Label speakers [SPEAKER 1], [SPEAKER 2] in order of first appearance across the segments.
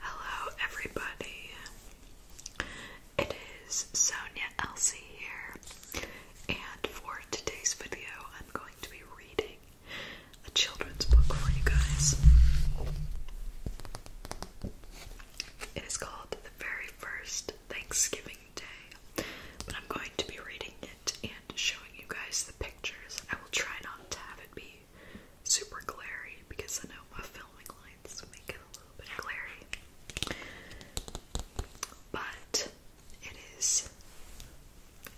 [SPEAKER 1] Hello, everybody. It is Sonia Elsie here, and for today's video, I'm going to be reading a children's book for you guys. It is called The Very First Thanksgiving Day, but I'm going to be reading it and showing you guys the pictures. I will try not to have it be super glary because I know my filming lights make it a little bit glary. But it is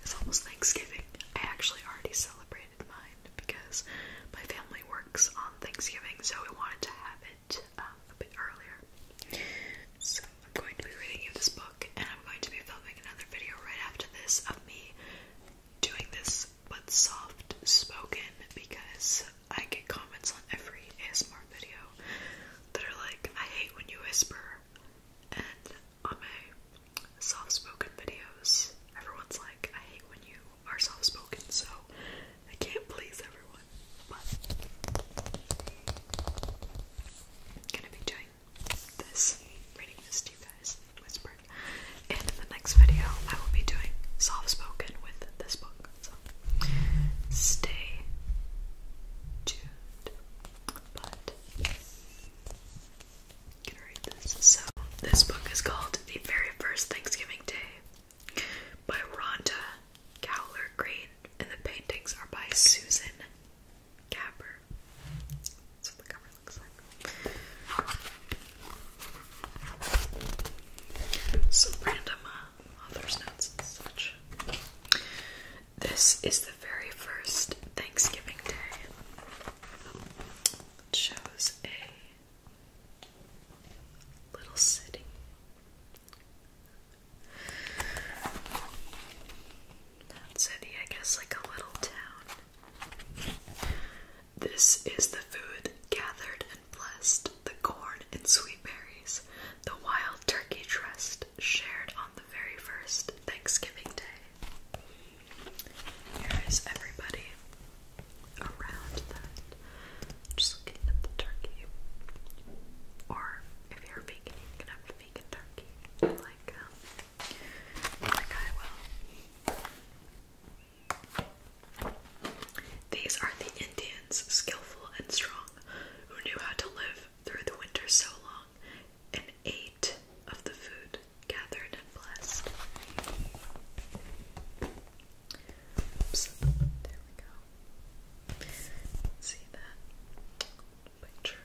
[SPEAKER 1] it's almost Thanksgiving. I actually already celebrated mine because my family works on Thanksgiving, so we wanted to have it um, a bit earlier. So I'm going to be reading you this book, and I'm going to be filming another video right after this of me doing this but soft spoken because I get comments on every ASMR video that are like, I hate when you whisper. And on my soft spoken videos, everyone's like, I hate when you are soft spoken, so I can't please everyone. But gonna be doing this, reading this to you guys whispered. in the next video, I will be doing soft spoken with this book. stay tuned. But i read this. So this book is called The Very First Thanksgiving Day by Rhonda Cowler Green, and the paintings are by Susan Capper cover. random uh, notes and such. This is the very first Thanksgiving Day. It a little city not city, I guess like a little town. This is the food gathered and blessed, the corn and sweet berries, the wild turkey dressed, shared on the very first Thanksgiving Day. Here is everybody around that. Just looking at the turkey. Or if you're vegan, you can have a vegan turkey. Um, These are the Indians, skillful and strong, who knew how to live through the winter so long, and ate of the food gathered and blessed. there we go. See that? picture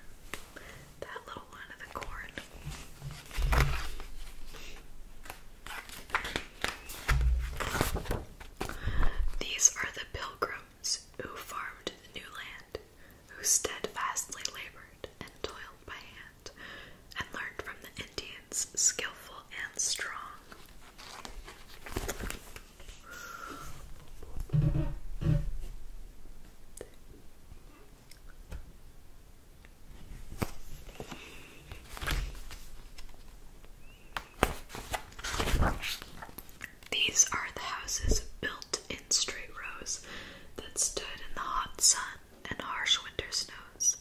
[SPEAKER 1] that little one of the corn. These are the pilgrims who farmed the new land, who steadfastly labored and toiled by hand, and learned from the Indians, skillful and strong. These are the houses built in straight rows that stood in the hot sun and harsh winter snows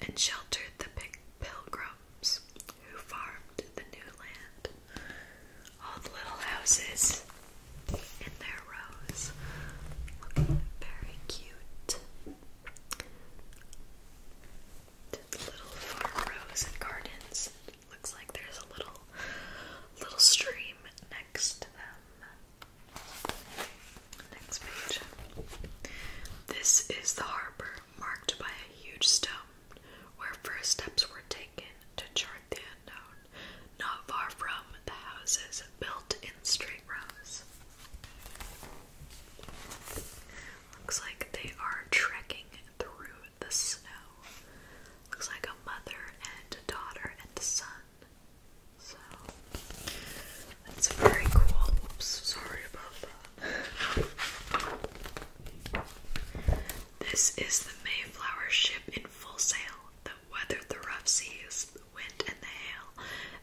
[SPEAKER 1] and sheltered the pilgrims who farmed the new land all the little houses in their rows. Looking very cute. little farm rows and gardens. Looks like there's a little little stream next to them. Next page. This is the harbor marked by a huge stone where first steps were taken to chart the unknown not far from the houses built in straight rows. Looks like they are trekking through the snow. Looks like a mother and daughter and son. So that's very cool. Oops, sorry about This is the Mayflower ship in full sail that weathered the rough seas, the wind, and the hail,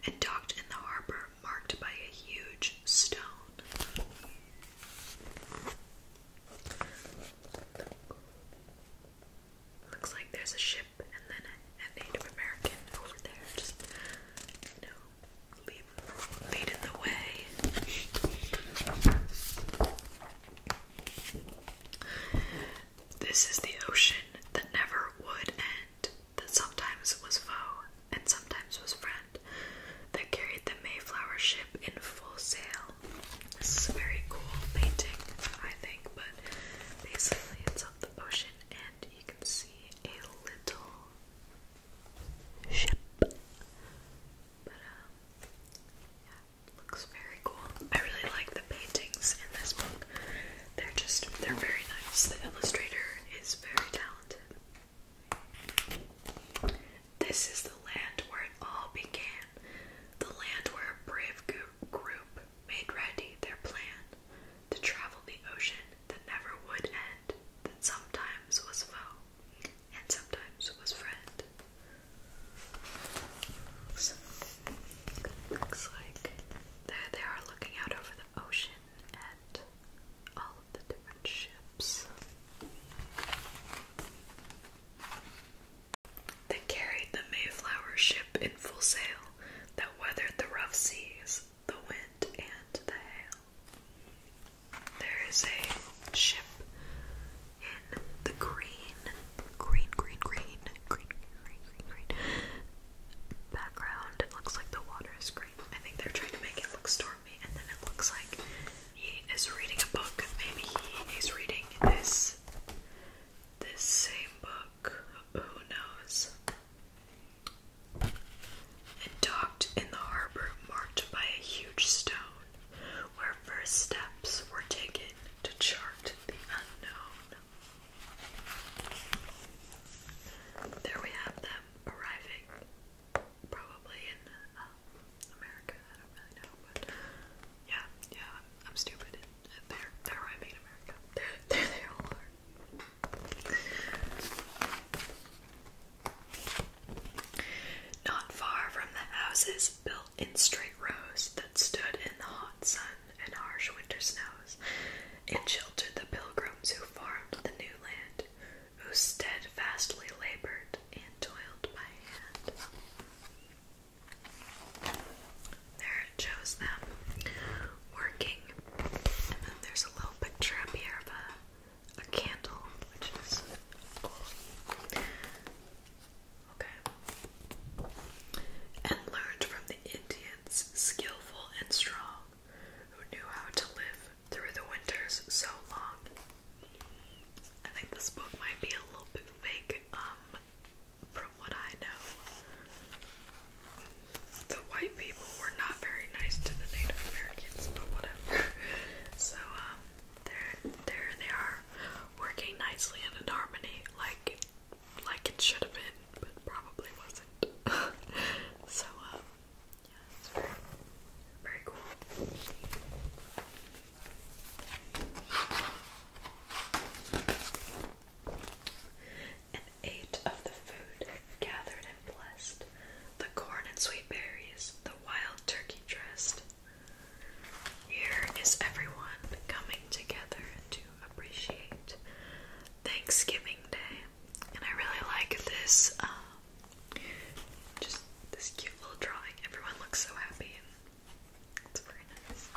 [SPEAKER 1] and docked in the harbor marked by a huge stone. Looks like there's a ship and then a, Native American over there, just, you know, leading the way. This is the ocean that never would end, that sometimes was foe and sometimes was friend, that carried the Mayflower ship in full sail. This is a very cool painting, I think, but basically it's of the ocean and you can see a little ship. Um, looks very cool. I really like the paintings in this book. They're just, they're very nice. The illustrator is very talented. This is the land where it all began. The land where a brave group made ready their plan to travel the ocean that never would end, that sometimes was foe and sometimes it was friend. looks like there they are looking out over the ocean at all of the different ships. They carried the Mayflower ship in full sail that weathered the rough seas, the wind, and the hail. There is a ship in the green, green, green, green, green, green, green, green background. It looks like the water is green. I think they're trying to make it look stormy, and then it looks like he is reading a book. Maybe he is reading this this same book. Who knows? And docked in the harbor marked by a huge stone where first steps were taken to chart the unknown. There we have them arriving, probably in uh, America. I don't really know, but yeah, yeah, I'm, stupid. They're they're arriving in America. There, there they all are. Not far from the houses built in straight rows that stood in the hot sun and harsh winter snows, and sheltered the pilgrims who farmed the new land, who steadfastly labored and toiled by hand. There it shows them working. And then there's a little picture here of a a candle, which is cool. Okay. And learned from the Indians, skillful and strong, who knew how to live through the winters so long. I think this book might be a little bit fake, um, from what I know. The white people were not very nice to the Native Americans, but whatever. So um, there, there they are, working nicely and in harmony, like, like it should have been, but probably wasn't. so um, yeah, it's very, very cool. And ate of the food gathered and blessed, the corn and sweet berries, the wild turkey dressed. Here is everyone coming together to appreciate Thanksgiving Day. And I really like this, um, just this cute little drawing. Everyone looks so happy, and it's very nice.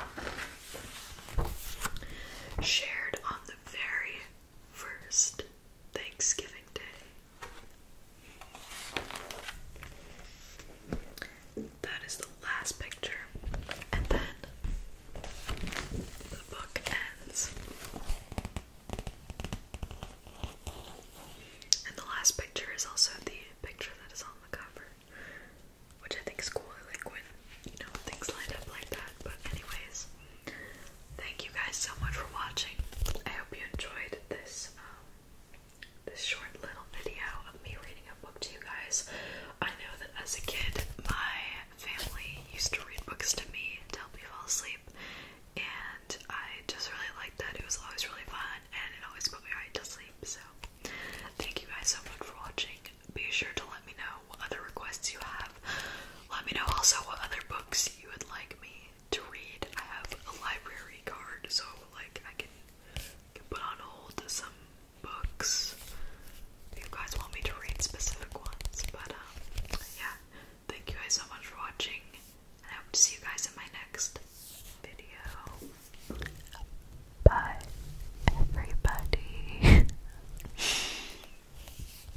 [SPEAKER 1] Shared on the very first Thanksgiving Day. That is the last picture, and then the book ends. And the last picture is also the picture that is on the cover, which I think is cool. like when you know things line up like that. But anyways. Thank you guys so much for watching. I hope you enjoyed this um, this short little video of me reading a book to you guys. I know that as a kid, my family used to read books to me to help me fall asleep, and I just really liked that. It was always really fun, and it always put me right to sleep. So, thank you guys so much for watching. Be sure to let me know what other requests you have let me know also what other books you would like me to read. I have a library card, so like I can, put on hold some books if you guys want me to read specific ones. But um, yeah, thank you guys so much for watching, and I hope to see you guys in my next video. Bye, everybody.